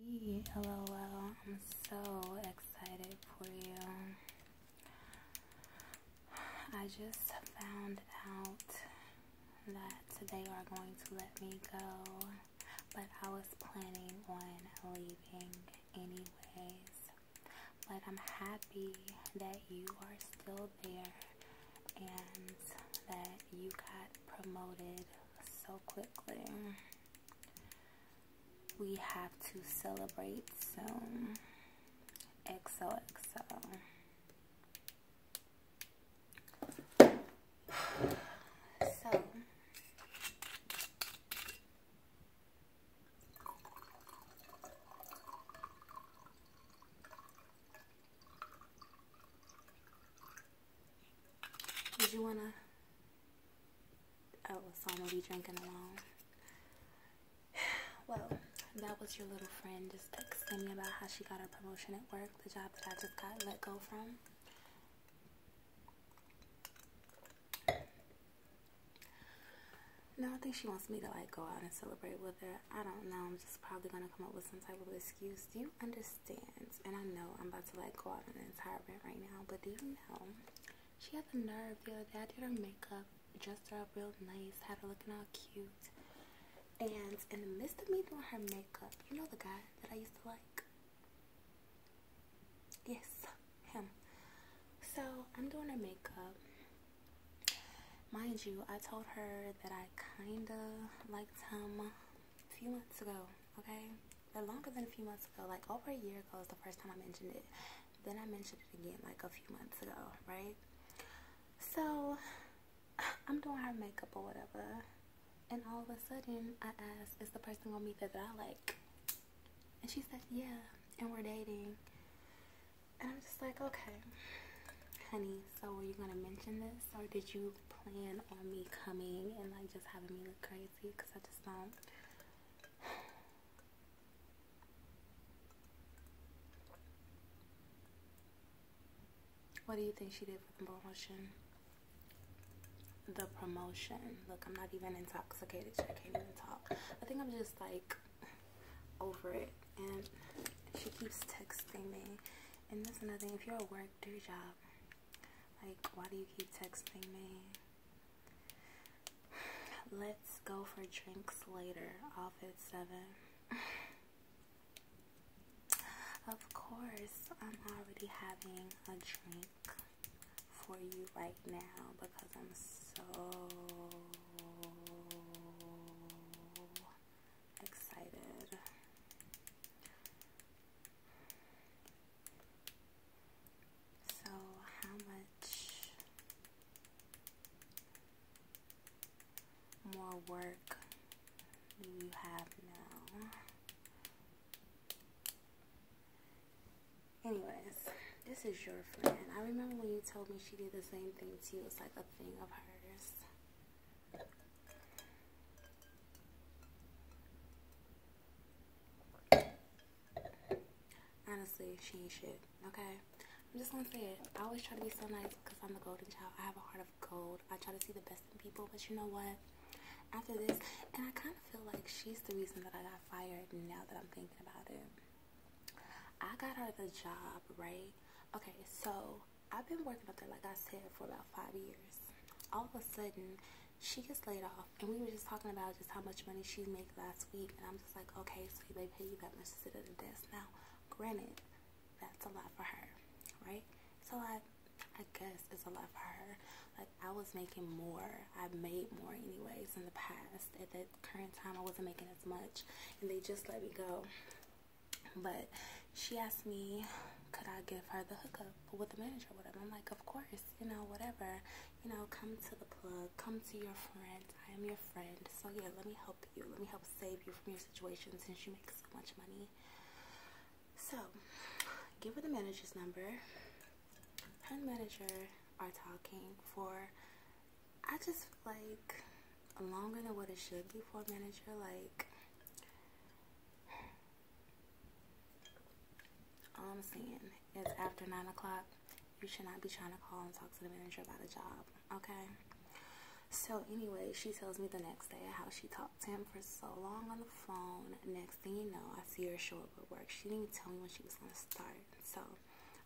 LOL, I'm so excited for you. I just found out that they are going to let me go, but I was planning on leaving anyways. But I'm happy that you are still there and that you got promoted so quickly we have to celebrate, so XOXO. So, did you wanna? Oh, so i gonna be drinking alone. Well, that was your little friend just texting me about how she got her promotion at work, the job that I just got let go from. No, I think she wants me to like go out and celebrate with her. I don't know. I'm just probably gonna come up with some type of excuse do you understand? And I know I'm about to like go out on an entire rant right now, but do you know she has the nerve the other day? I did her makeup, dressed her up real nice, had her looking all cute. And in the midst of me doing her makeup, you know the guy that I used to like? Yes, him. So I'm doing her makeup. Mind you, I told her that I kinda liked him, a few months ago, okay? But longer than a few months ago, like over a year ago is the first time I mentioned it. Then I mentioned it again like a few months ago, right? So I'm doing her makeup or whatever. And all of a sudden I ask, is the person gonna be there that I like? And she said, yeah, and we're dating. And I'm just like, okay, honey, so were you gonna mention this or did you plan on me coming and like just having me look crazy because I just don't. What do you think she did for the promotion? The promotion. Look, I'm not even intoxicated. So I can't even talk. I think I'm just like over it. And she keeps texting me. And that's another thing. If you're at work, do your job. Like, why do you keep texting me? Let's go for drinks later, off at 7. of course, I'm already having a drink for you right now because I'm so excited. So, how much more work do you have now? Anyways, this is your friend. I remember when you told me she did the same thing to you. It's like a thing of hers. Honestly, she ain't shit, okay? I'm just gonna say it. I always try to be so nice because I'm the golden child. I have a heart of gold. I try to see the best in people, but you know what? After this, and I kind of feel like she's the reason that I got fired now that I'm thinking about it. I got her the job, right? Okay, so I've been working up there, like I said, for about five years. All of a sudden, she gets laid off, and we were just talking about just how much money she made last week, and I'm just like, okay, so they pay you that much to sit at the desk. Now, granted, that's a lot for her, right? It's a lot. I guess it's a lot for her. Like I was making more. I made more anyways in the past. At the current time, I wasn't making as much, and they just let me go. But she asked me, could I give her the hookup with the manager whatever? I'm like, of course, you know, whatever. You know, come to the plug, come to your friend. I am your friend. So yeah, let me help you. Let me help save you from your situation since you make so much money. So, give her the manager's number. Her and manager are talking for, I just feel like, longer than what it should be for a manager. Like, all I'm saying is after 9 o'clock, you should not be trying to call and talk to the manager about the job, okay? So anyway, she tells me the next day how she talked to him for so long on the phone. Next thing you know, I see her show up at work. She didn't even tell me when she was going to start. So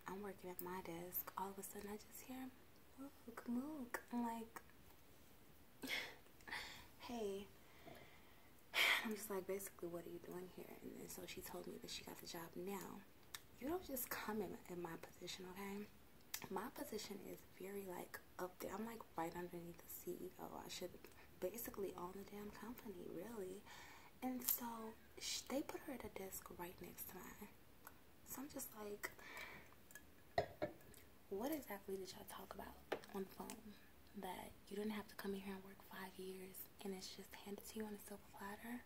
I'm working at my desk. All of a sudden, I just hear, Mook, Mook. I'm like, hey. I'm just like, basically, what are you doing here? And, and so she told me that she got the job now. You don't just come in, in my position, okay? My position is very, like, up there. I'm, like, right underneath the CEO. I should basically own the damn company, really. And so they put her at a desk right next to mine. So I'm just like, what exactly did y'all talk about on the phone that you didn't have to come in here and work five years and it's just handed to you on a silver platter?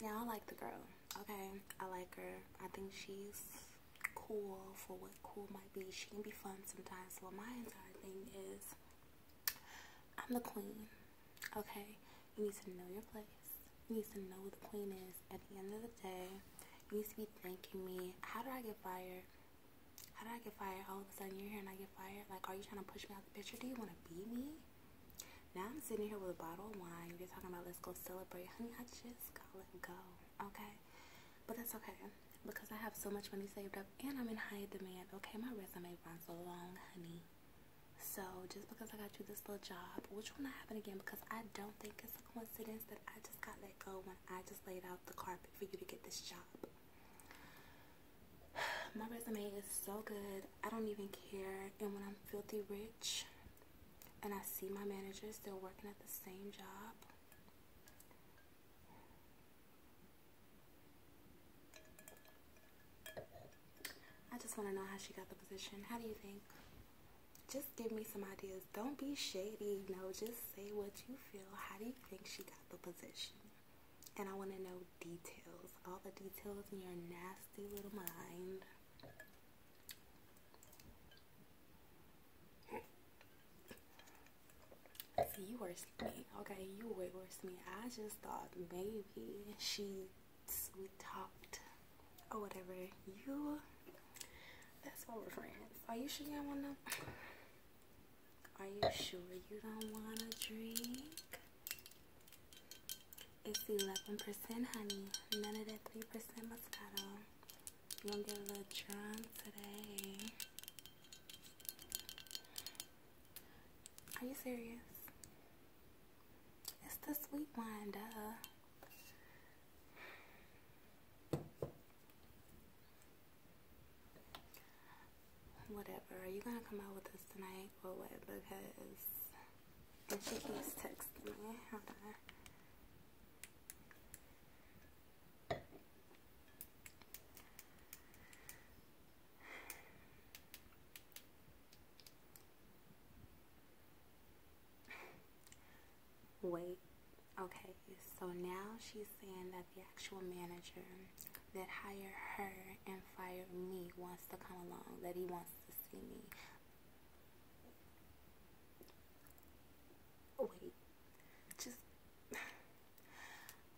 Yeah, I like the girl, okay? I like her. I think she's cool for what cool might be. She can be fun sometimes. Well, my entire thing is I'm the queen. Okay, you need to know your place. You need to know what the queen is at the end of the day. You need to be thanking me. How did I get fired? How did I get fired? All of a sudden you're here and I get fired? Like, are you trying to push me out the picture? Do you want to be me? Now I'm sitting here with a bottle of wine. You're talking about let's go celebrate. Honey, I just gotta let go. Okay? But that's okay. Because I have so much money saved up and I'm in high demand. Okay, my resume runs so long, honey. So just because I got you this little job, which will not happen again because I don't think it's a coincidence that I just got let go when I just laid out the carpet for you to get this job. My resume is so good. I don't even care. And when I'm filthy rich and I see my manager still working at the same job, I just want to know how she got the position. How do you think? Just give me some ideas. Don't be shady. No, just say what you feel. How do you think she got the position? And I want to know details. All the details in your nasty little mind. you worse me. Okay, you way worse than me. I just thought maybe she we talked or whatever. You that's why we're friends. Are you sure you don't wanna Are you sure you don't wanna drink? It's eleven percent honey. None of that three percent Moscato. You gonna get a little drunk today. Are you serious? It's the sweet wine, duh. Whatever. Are you gonna come out with us tonight or what? Because and she keeps texting me. Wait, okay, so now she's saying that the actual manager that hired her and fired me wants to come along, that he wants to see me. Wait, just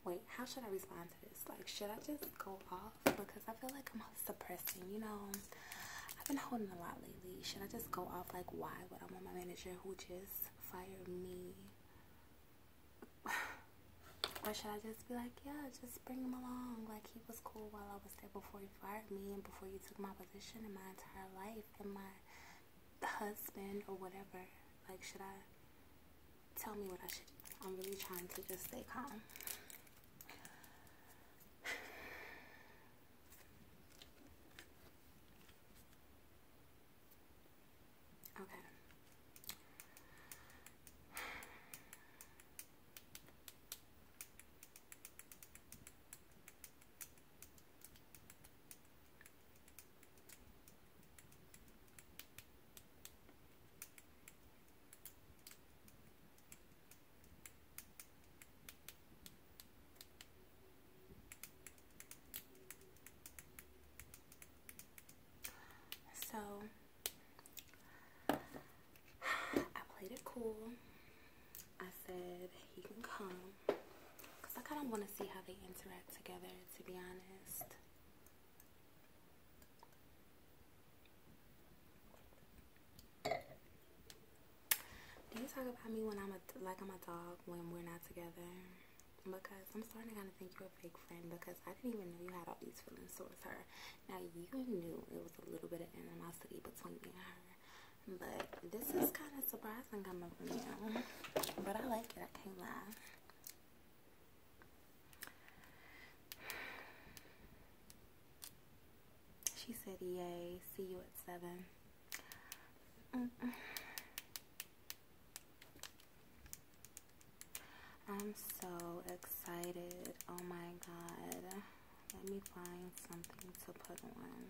Wait, how should I respond to this? Like, should I just go off? Because I feel like I'm suppressing, you know. I've been holding a lot lately. Should I just go off? Like, why would I want my manager who just fired me? or should I just be like, yeah, just bring him along? Like, he was cool while I was there before he fired me and before you took my position in my entire life and my husband or whatever. Like, should I tell me what I should I'm really trying to just stay calm. Okay. So I played it cool. I said he can come because I kind of want to see how they interact together, to be honest. Do you talk about me when I'm a like I'm a dog when we're not together? Because I'm starting to kind of think you're a fake friend because I didn't even know you had all these feelings towards her. Now you knew it was a little bit of animosity between me and her, but this is kind of surprising coming from you. But I like it. I can't lie. She said, Yay, see you at 7. I'm so excited. Oh my god. Let me find something to put on.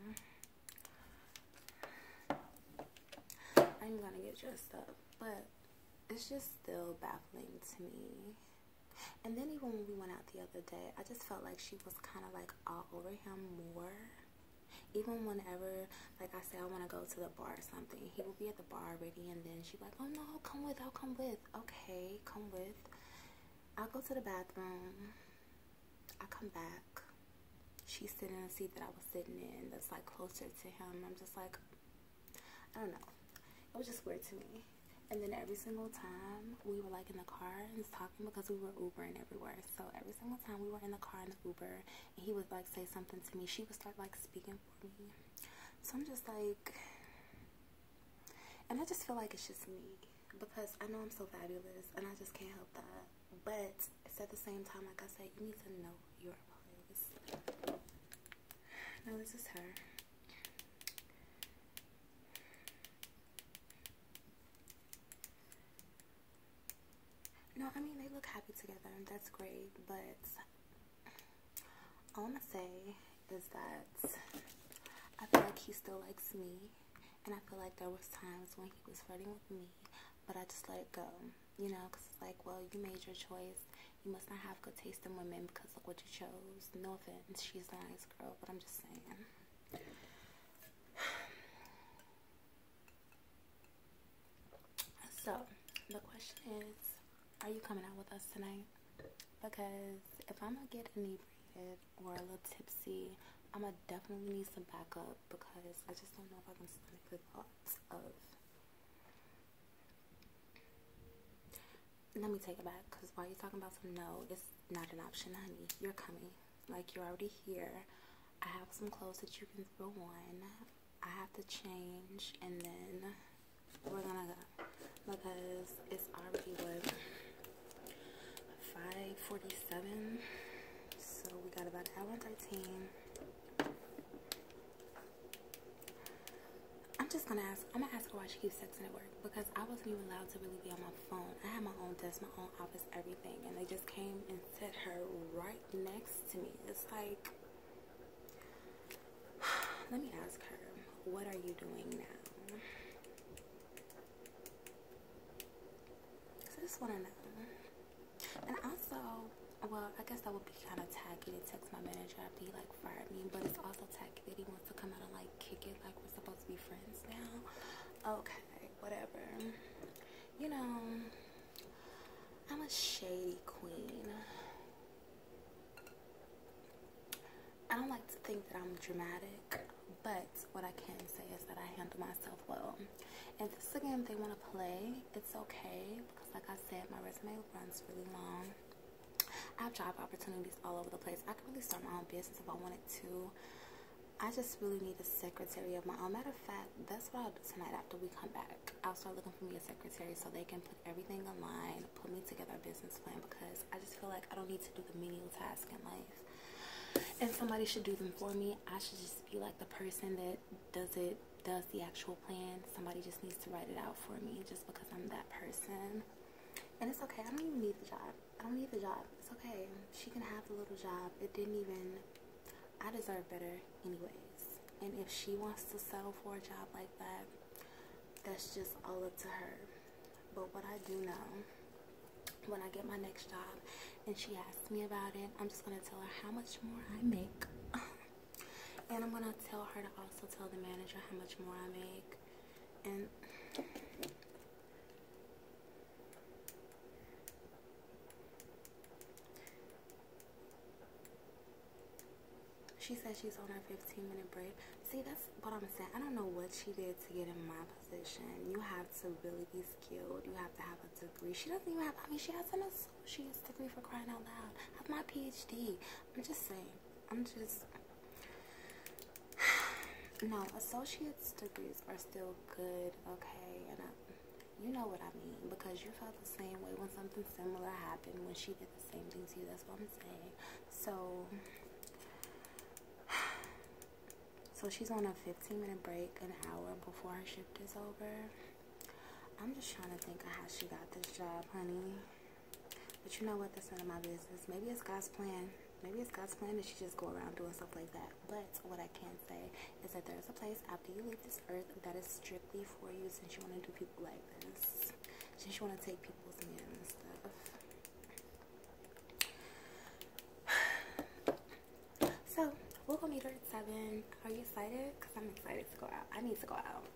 I'm gonna get dressed up but it's just still baffling to me. And then even when we went out the other day, I just felt like she was kind of like all over him more. Even whenever, like I say, I want to go to the bar or something, he would be at the bar already, and then she's like, "Oh no, come with, I'll oh, come with." Okay, come with. I'll go to the bathroom. I come back. She's sitting in a seat that I was sitting in, that's like closer to him. I'm just like, I don't know. It was just weird to me. And then every single time we were like in the car and talking because we were Ubering everywhere. So every single time we were in the car in the Uber he would like say something to me, she would start like speaking for me. So I'm just like, and I just feel like it's just me because I know I'm so fabulous and I just can't help that. But it's at the same time, like I said, you need to know you are place. No, this is her. No, I mean, they look happy together, that's great, but all I'm gonna say is that I feel like he still likes me, and I feel like there was times when he was flirting with me, but I just let it go you know, because it's like, well, you made your choice. You must not have good taste in women because look what you chose. No offense, she's a nice girl, but I'm just saying. So, the question is, are you coming out with us tonight? Because if I'm gonna get inebriated or a little tipsy, I'm gonna definitely need some backup because I just don't know if I can a good thoughts of let me take it back because while you're talking about some no, it's not an option, honey. You're coming. Like, you're already here. I have some clothes that you can throw on. I have to change and then we're gonna go because it's already what 5:47. So we got about an hour 13. I'm just gonna ask. I'm gonna ask her why she keeps texting at work because I wasn't even allowed to really be on my phone. I had my own desk, my own office, everything, and they just came and set her right next to me. It's like, let me ask her, what are you doing now? So I just wanna know. And also, well, I guess that would be kind of tacky to text my manager after he like fired me, but it's also tacky that he wants to come out and like kick it like we're supposed to be friends now. Okay, whatever. You know, I'm a shady queen. I don't like to think that I'm dramatic, but what I can say is that I handle myself well. If this again, they want to play, it's okay because like I said, my resume runs really long. I have job opportunities all over the place. I could really start my own business if I wanted to. I just really need a secretary of my own. Matter of fact, that's what I'll do tonight after we come back. I'll start looking for me a secretary so they can put everything in line, put me together a business plan because I just feel like I don't need to do the menial tasks in life. And somebody should do them for me. I should just be like the person that does it does the actual plan. Somebody just needs to write it out for me just because I'm that person. And it's okay. I don't even need the job. I don't need the job. It's okay. She can have the little job. It didn't even I deserve better anyways. And if she wants to sell for a job like that, that's just all up to her. But what I do know when I get my next job and she asks me about it, I'm just going to tell her how much more I make. And I'm gonna tell her to also tell the manager how much more I make. And she says she's on her 15 minute break. See, that's what I'm saying. I don't know what she did to get in my position. You have to really be skilled. You have to have a degree. She doesn't even have, I mean, she has an associate she is me for crying out loud. I have my PhD. I'm just saying. I'm just no associate's degrees are still good, okay? And I, you know what I mean because you felt the same way when something similar happened when she did the same thing to you. That's what I'm saying. So. So she's on a 15 minute break an hour before her shift is over. I'm just trying to think of how she got this job, honey. But you know what? That's none of my business. Maybe it's God's plan. Maybe it's God's plan that she just go around doing stuff like that. But what I can say is that there's a place after you leave this earth that is strictly for you since you want to do people like this. Since you want to take people's men and stuff. So, we'll go meet her at 7. Are you excited? Because I'm excited to go out. I need to go out.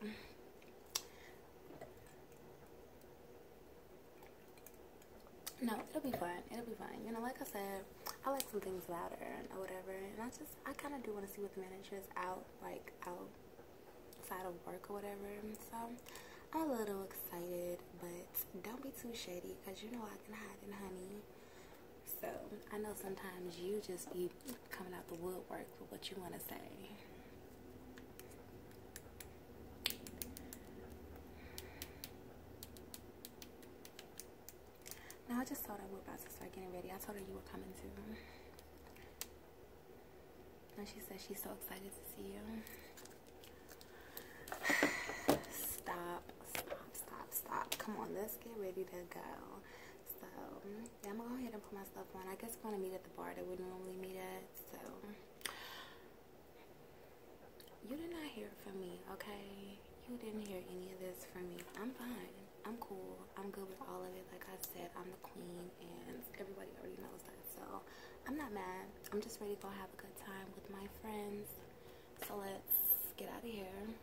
No, it'll be fun. It'll be fun. You know, like I said, I like some things louder or whatever. And I just, I kind of do want to see what the manager is out, like, side of work or whatever. So, I'm a little excited, but don't be too shady because you know I can hide in honey. So I know sometimes you just be coming out the woodwork for what you want to say. Now I just told her we're about to start getting ready. I told her you were coming soon, And she said she's so excited to see you. Stop, stop, stop, stop. Come on, let's get ready to go. So yeah, I'm gonna go ahead and put myself on. I guess we're gonna meet at the bar that we normally meet at. So you did not hear from me, okay? You didn't hear any of this from me. I'm fine. I'm cool. I'm good with all of it. Like I said, I'm the queen and everybody already knows that. So I'm not mad. I'm just ready to go have a good time with my friends. So let's get out of here.